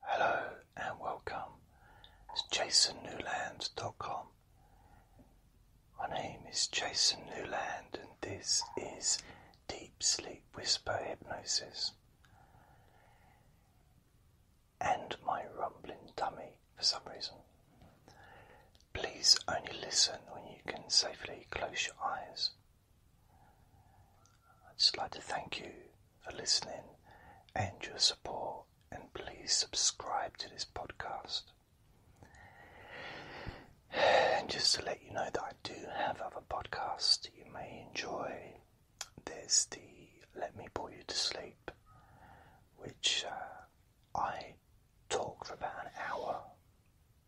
Hello and welcome. It's jasonnewland.com. My name is Jason Newland and this is Deep Sleep Whisper Hypnosis. And my rumbling dummy for some reason. Please only listen when you can safely close your eyes. I'd just like to thank you for listening and your support, and please subscribe to this podcast. And just to let you know that I do have other podcasts that you may enjoy. There's the Let Me Bore You to Sleep, which uh, I talk for about an hour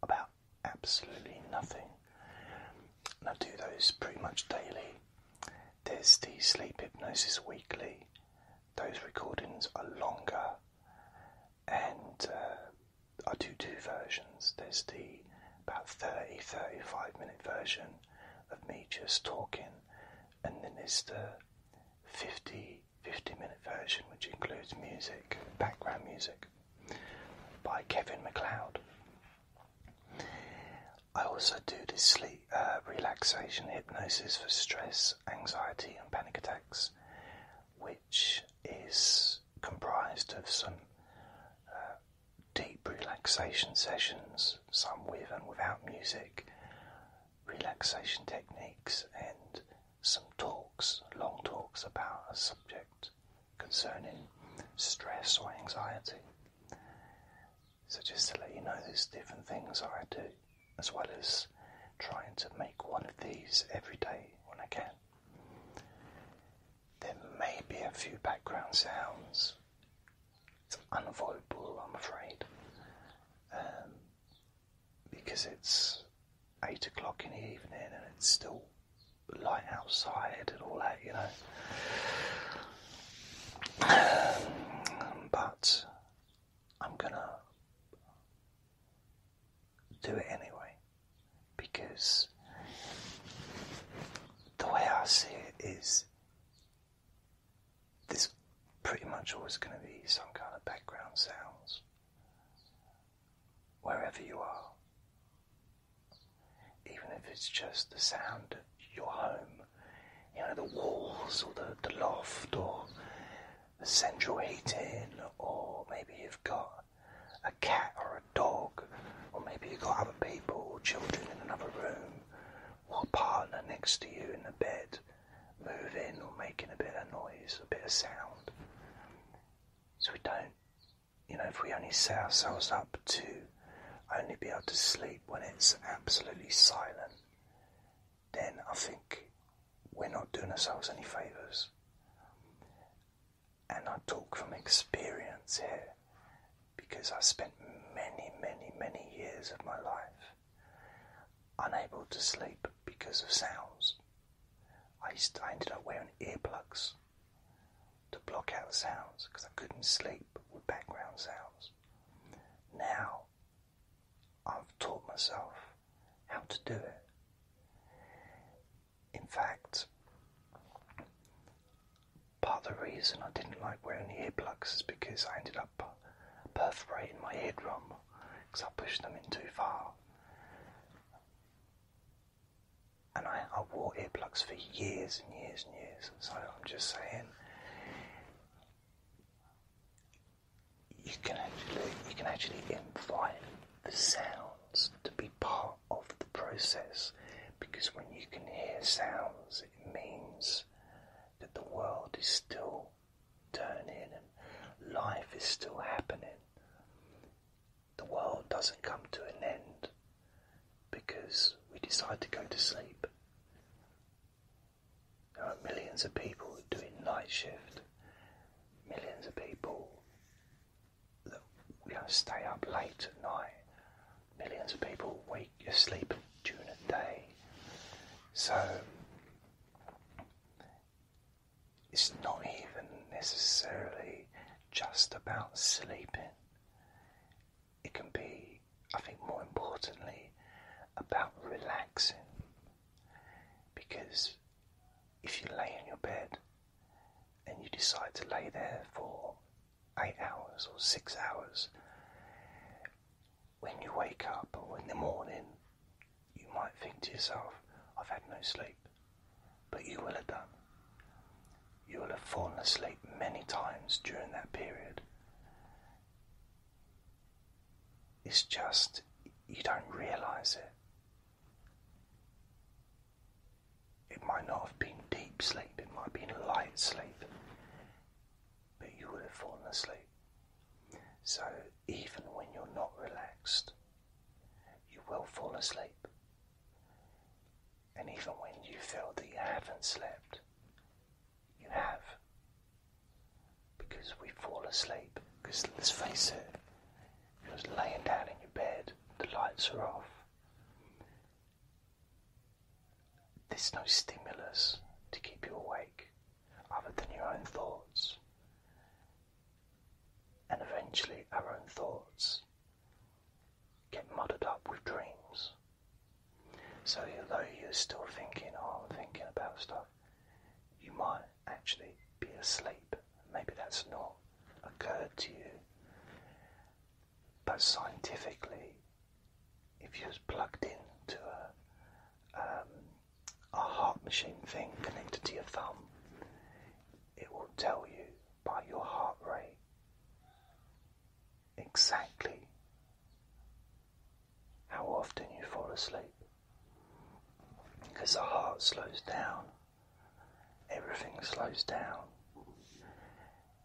about absolutely nothing and I do those pretty much daily. There's the sleep hypnosis weekly, those recordings are longer, and uh, I do two versions. There's the about 30 35 minute version of me just talking, and then there's the 50 50 minute version, which includes music, background music by Kevin McLeod. I also do this sleep uh, relaxation hypnosis for stress, anxiety, and panic attacks, which is comprised of some uh, deep relaxation sessions, some with and without music, relaxation techniques, and some talks, long talks about a subject concerning stress or anxiety. So, just to let you know, there's different things I do, as well as trying to make one of these every day when I can. There may be a few background sounds. It's unavoidable, I'm afraid, um, because it's eight o'clock in the evening and it's still light outside and all that, you know. But I'm gonna do it anyway because the way I see it is there's pretty much always going to be some kind of background sounds wherever you are even if it's just the sound of your home, you know, the walls or the, the loft or the central heating, or maybe you've got a cat or a dog, or maybe you've got other people or children in another room, or a partner next to you in the bed moving or making a bit of noise, a bit of sound. So we don't you know, if we only set ourselves up to only be able to sleep when it's absolutely silent, then I think we're not doing ourselves any favours. And I talk from experience here because I spent many, many, many years of my life unable to sleep because of sounds. I, to, I ended up wearing earplugs to block out the sounds because I couldn't sleep with background sounds. Now I've taught myself how to do it. In fact, part of the reason I didn't like wearing the earplugs is because I ended up perforating my eardrum because I pushed them in too far and I, wore earplugs for years and years and years. So I'm just saying, you can actually you can actually invite the sounds to be part of the process, because when you can hear sounds, it means that the world is still turning and life is still happening the world doesn't come to an end because we decide to go to sleep. There are millions of people doing night shift, millions of people that you stay up late at night, millions of people wake asleep during the day. So it's not even necessarily just about sleeping. It can be, I think, more importantly, about relaxing. Because if you lay in your bed and you decide to lay there for eight hours or six hours, when you wake up or in the morning, you might think to yourself, I've had no sleep but you will have done. You will have fallen asleep many times during that period. It's just you don't realize it. It might not have been deep sleep, it might have been light sleep, but you would have fallen asleep. So even when you're not relaxed, you will fall asleep. And even when you feel that you haven't slept, you have. Because we fall asleep, because let's face it, you're laying down in your bed, the lights are off. There's no stimulus to keep you awake other than your own thoughts. And eventually, our own thoughts get muddled up with dreams. So, although you're still thinking, oh, thinking about stuff, you might actually be asleep. Maybe that's not occurred to you. But scientifically, if you're plugged into a, um, a heart machine thing connected to your thumb, it will tell you by your heart rate. Exactly how often you fall asleep. Because the heart slows down, everything slows down.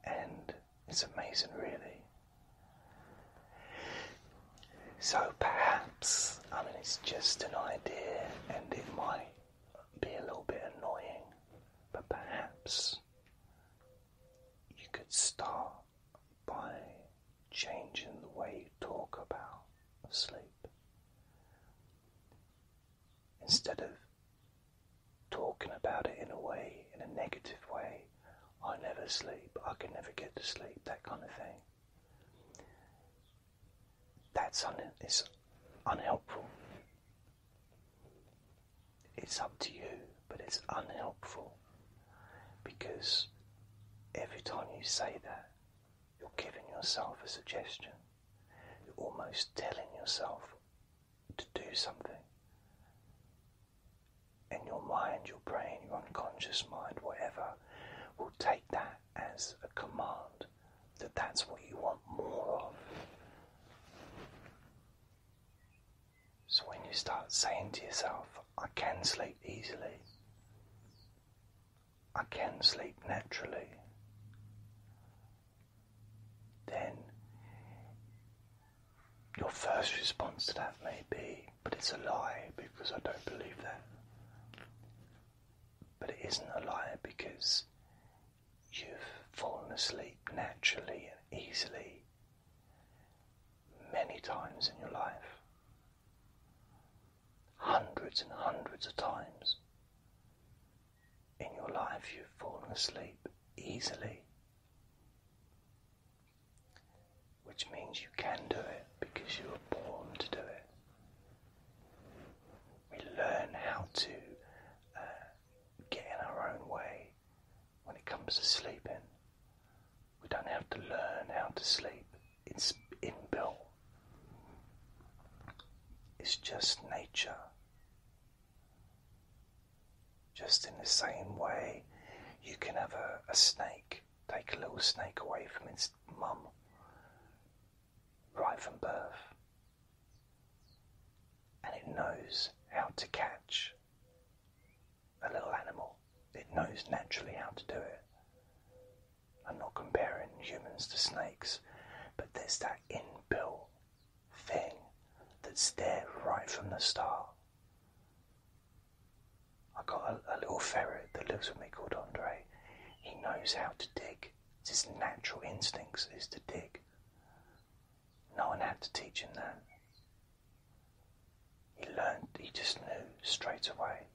And it's amazing, really. So perhaps, I mean, it's just an idea and it might be a little bit annoying, but perhaps you could start by changing the way you talk about sleep. Instead of talking about it in a way, in a negative way, I never sleep, I can never get to sleep, that kind of thing. That's un it's unhelpful. It's up to you, but it's unhelpful because every time you say that, you're giving yourself a suggestion. You're almost telling yourself to do something. And your mind, your brain, your unconscious mind, whatever, will take that as a command that that's what you want more of. So when you start saying to yourself, I can sleep easily, I can sleep naturally, then your first response to that may be, but it's a lie because I don't believe that but it isn't a lie because you've fallen asleep naturally and easily many times in your life, hundreds and hundreds of times in your life you've fallen asleep easily, which means you can do it because you were born to do it. We learn how to uh, get in our own way when it comes to sleeping. We don't have to learn how to sleep, it's inbuilt. It's just nature. Just in the same way, you can have a snake, take a little snake away from its mum, right from birth. And it knows how to catch a little animal. It knows naturally how to do it. I'm not comparing humans to snakes, but there's that inbuilt thing that's there right from the start. I got a little ferret that lives with me called Andre. He knows how to dig. It's his natural instincts is to dig. No one had to teach him that. He learned, he just knew straight away.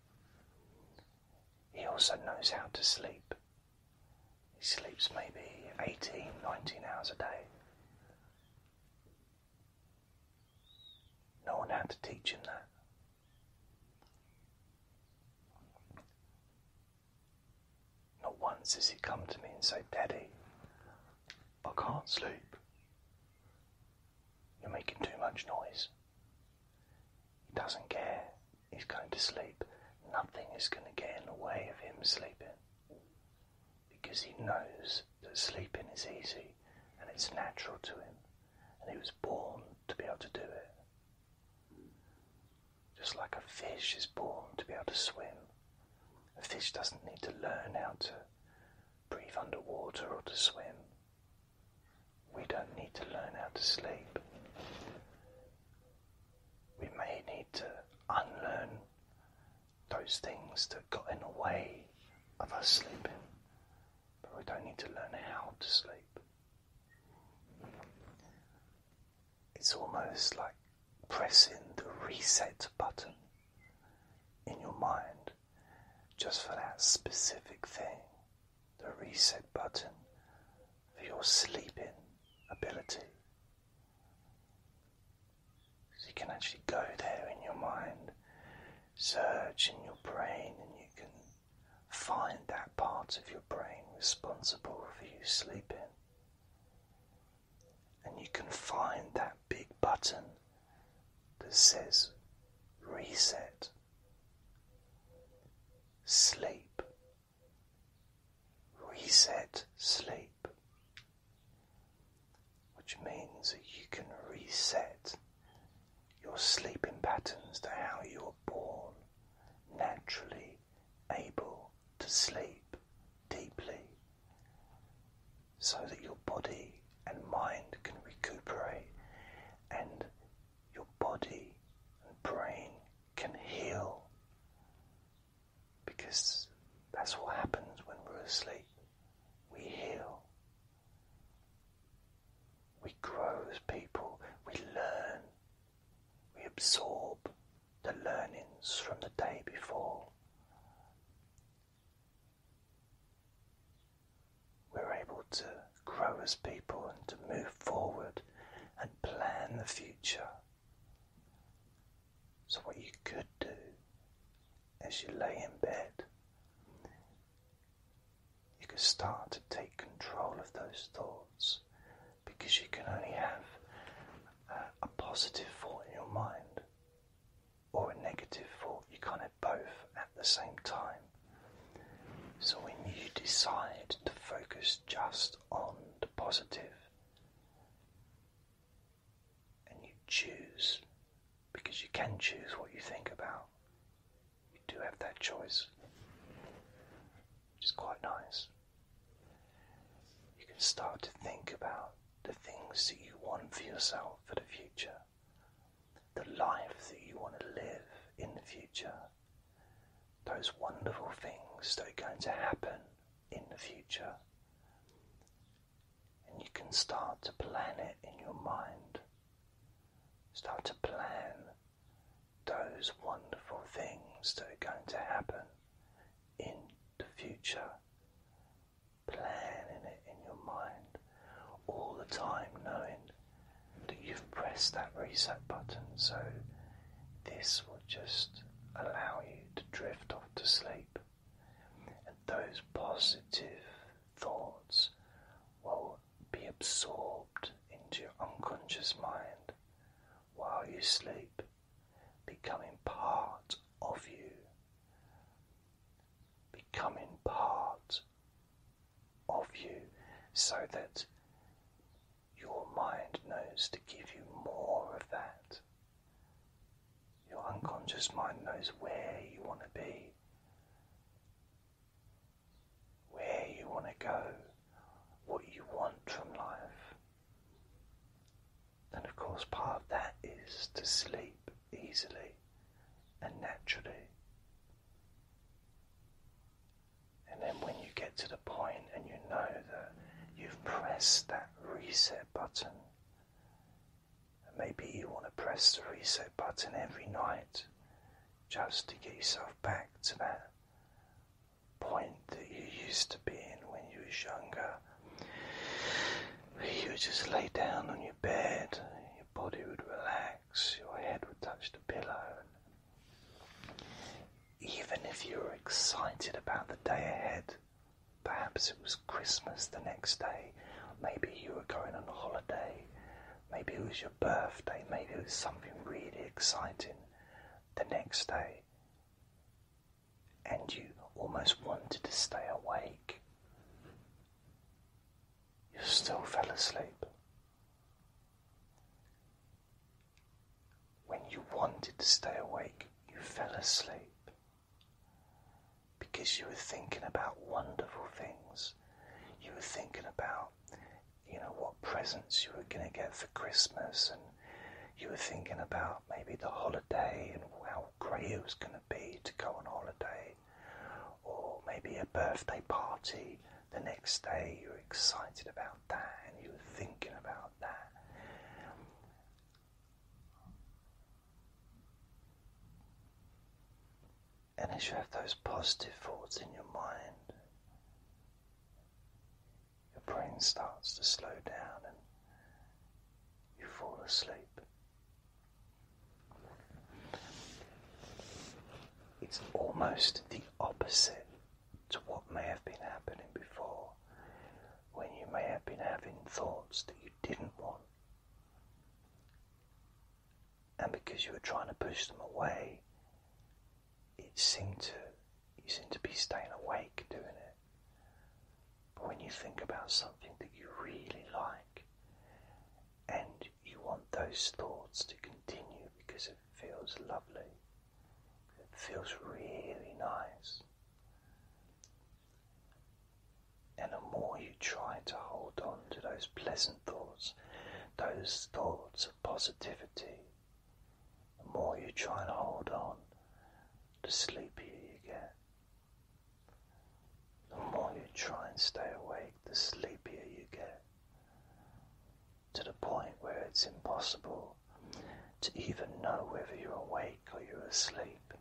He also knows how to sleep. He sleeps maybe 18, 19 hours a day. No one had to teach him that. Not once has he come to me and say, Daddy, I can't sleep. You're making too much noise. He doesn't care. He's going to sleep. Nothing is going to get in the way of him sleeping because he knows that sleeping is easy and it's natural to him and he was born to be able to do it. Just like a fish is born to be able to swim, a fish doesn't need to learn how to breathe underwater or to swim. We don't need to learn how to sleep. We may need to unlearn those things that got in the way of us sleeping, but we don't need to learn how to sleep. It's almost like pressing the reset button in your mind just for that specific thing, the reset button for your sleeping ability. So you can actually go there in your mind, search in your brain, and you can Find that part of your brain responsible for you sleeping. And you can find that big button that says reset, sleep, reset, sleep, which means that you can reset your sleeping patterns to how you were born, naturally able to sleep deeply, so that your body and mind can recuperate and your body and brain can heal. Because that's what happens when we're asleep. We heal. We grow as people, we learn, we absorb the learnings from the day before. We're able to grow as people and to move forward and plan the future. So, what you could do as you lay in bed you can start to take control of those thoughts because you can only have a, positive thought in your mind or a negative thought. You can't have both at the same time. So when you decide to focus just on the positive, and you choose because you can choose what you think about you do have that choice, which is quite nice. You can start to think about the things that you want for yourself for the future, the life that you want to live in the future, those wonderful things that are going to happen in the future. And you can start to plan it in your mind. Start to plan those wonderful things that are going to happen in the future. Planning it in your mind all the time, knowing that you've pressed that reset button, so this will just allow you to drift off to sleep. And those positive thoughts will be absorbed into your unconscious mind while you sleep, becoming part of you, becoming part of you, so that your mind knows to give you more of that. Your unconscious mind knows where you want to be where you want to go, what you want from life. And of course, part of that is to sleep easily and naturally. And then when you get to the point and you know that you've pressed that reset button, maybe you want to press the reset button every night just to get yourself back to that point that you used to be in when you was younger. You just lay down on your bed, your body would relax, your head would touch the pillow. Even if you were excited about the day ahead, perhaps it was Christmas the next day, maybe you were going on holiday, Maybe it was your birthday, maybe it was something really exciting the next day, and you almost wanted to stay awake. You still fell asleep. When you wanted to stay awake, you fell asleep because you were thinking about wonderful things. You were thinking about you know, what presents you were going to get for Christmas, and you were thinking about maybe the holiday and how great it was going to be to go on holiday, or maybe a birthday party the next day. You were excited about that, and you were thinking about that. And as you have those positive thoughts in your mind, your brain starts to slow down and you fall asleep. It's almost the opposite to what may have been happening before, when you may have been having thoughts that you didn't want and because you were trying to push them away, it seemed to you seemed to be staying awake doing it. But when you think about something that you really like, and you want those thoughts to continue because it feels lovely, it feels really nice. And the more you try to hold on to those pleasant thoughts, those thoughts of positivity. The more you try and hold on, the sleepier you get. The more you try and stay awake, the sleepier you get. To the point where it's impossible to even know whether you're awake or you're asleep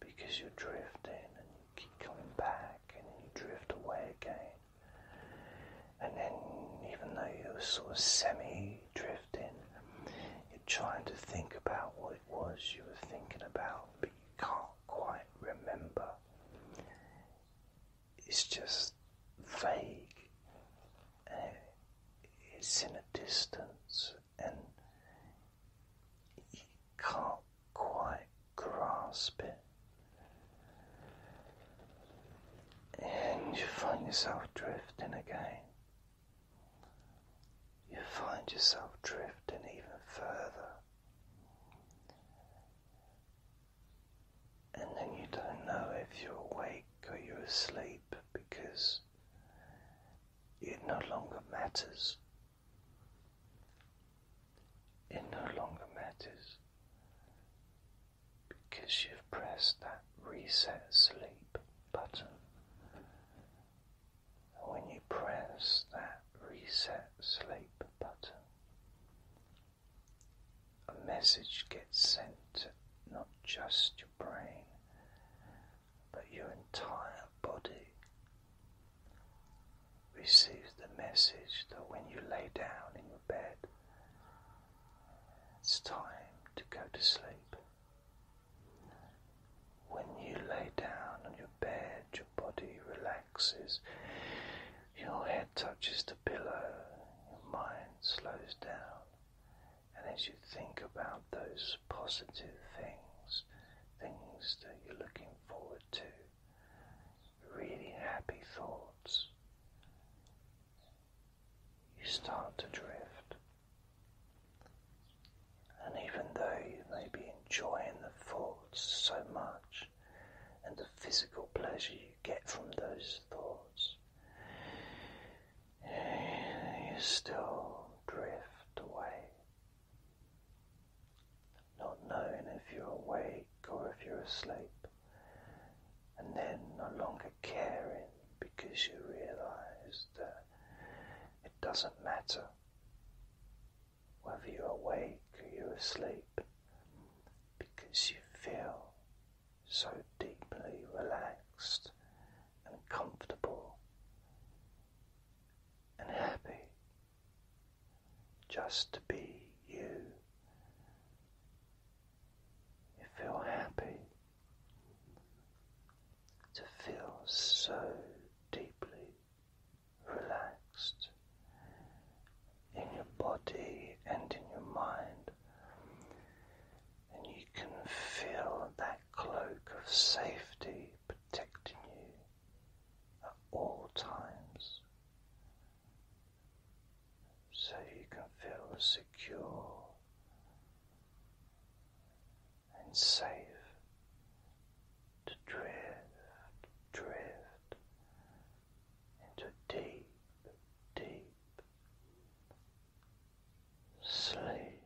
because you're drifting keep coming back, and then you drift away again. And then, even though you're sort of semi drifting, you're trying to think about what it was you were thinking about, but you can't quite remember. It's just vague, it's in a distance, and can't quite grasp it. And you find yourself drifting again. You find yourself drifting even further. And then you don't know if you're awake or you're asleep because it no longer matters. It no longer matters because you've pressed that reset sleep button. when you press that reset sleep button, a message gets sent not just your brain, but your entire body receives the message that when you lay down in your bed, it's time to go to sleep. When you lay down on your bed, your body relaxes, your head touches the pillow, your mind slows down, and as you think about those positive things, things that you're looking forward to, really happy thoughts, you start to drift. And even though you may be enjoying the thoughts so much and the physical pleasure you get from those thoughts, you still drift away not knowing if you're awake or if you're asleep, and then no longer caring because you realize that it doesn't matter whether you're awake or you're asleep because you feel so deeply relaxed and comfortable and happy just to be you. You feel happy to feel so deeply relaxed in your body and in your mind, and you can feel that cloak of safety protecting you at all times so you can feel secure and safe to drift, drift into deep, deep sleep.